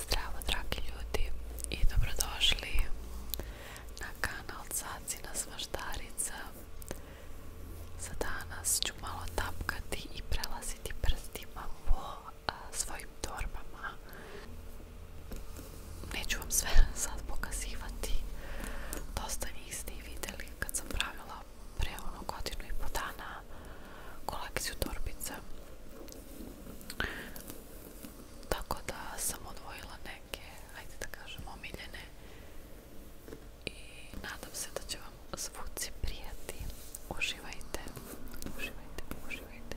Zdravo dragi ljudi i dobrodošli na kanal na Svaždarica. Za danas ću malo tapkati i prelaziti prstima po svojim torbama. Neću vam sve sad pokazivati. Dosta niste i vidjeli kad sam pravila pre ono godinu i po dana kolekciju torbica tako da sam odvojila neke, ajde da kažem, omiljene i nadam se da će vam zvuci prijati. Uživajte, uživajte, uživajte.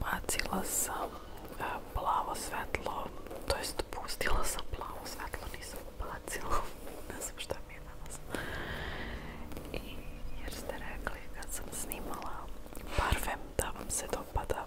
Bacila sam e, plavo svetlo, to jest pustila sam plavo svetlo, nisam bacila, ne znam jer ste rekli kad sam snimala parfem da vam se dopada.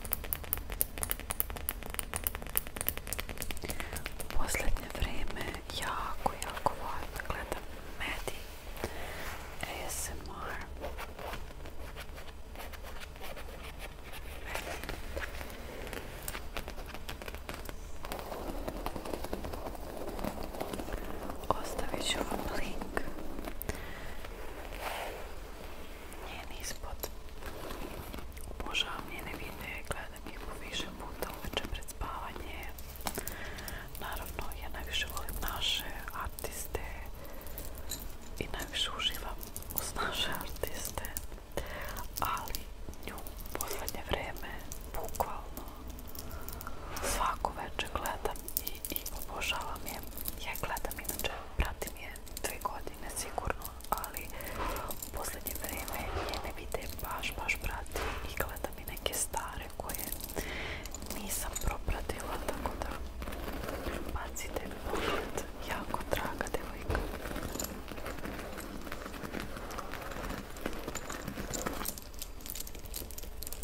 U posljednje vrijeme jako, jako volim mediji gledam medij ću vam link njen ispod. Obožavam njene videe, gledam ih po više puta uveče pred spavanje. Naravno, ja najviše volim naše artiste i najviše uživam uz naše artiste, ali nju posljednje vrijeme bukvalno svako večer gledam i, obožavam je. Ja gledam, inače pratim je dve godine sigurno, ali u posljednje vrijeme ne vide baš, baš pratim i gledam i neke stare koje nisam propratila, tako da bacite pogled, jako draga devojka.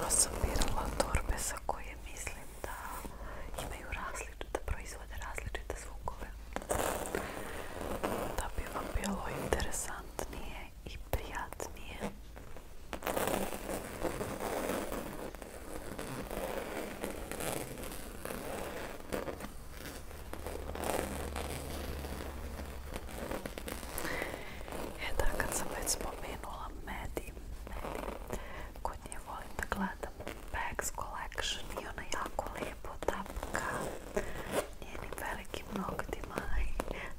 na sam birala torbe za koje mislim da imaju da proizvode različite zvukove. Da bi vam bilo interesantnije i prijatnije. E da, kad sam već spomenula Medi, Medi kod nje volim da gledam Bags Collection i ona jako lijepo tapka njenim velikim nogtima i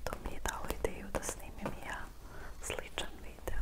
to mi je dao ideju da snimim ja sličan video.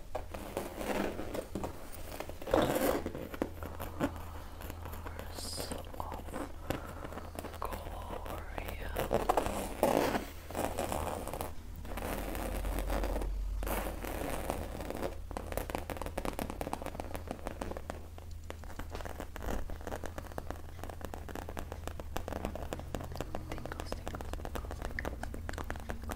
Flowers of Gloria. Tingles, tingles, tingles,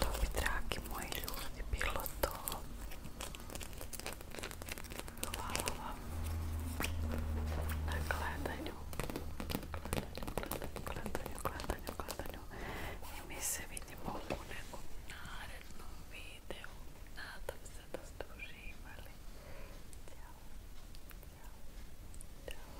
To bi, dragi moji ljudi, bilo to. Hvala vam na gledanju. Gledanju, gledanju, gledanju, gledanju. I mi se vidimo u nekom narednom videu. Nadam se da ste uživali. Ćao. Ćao. Ćao.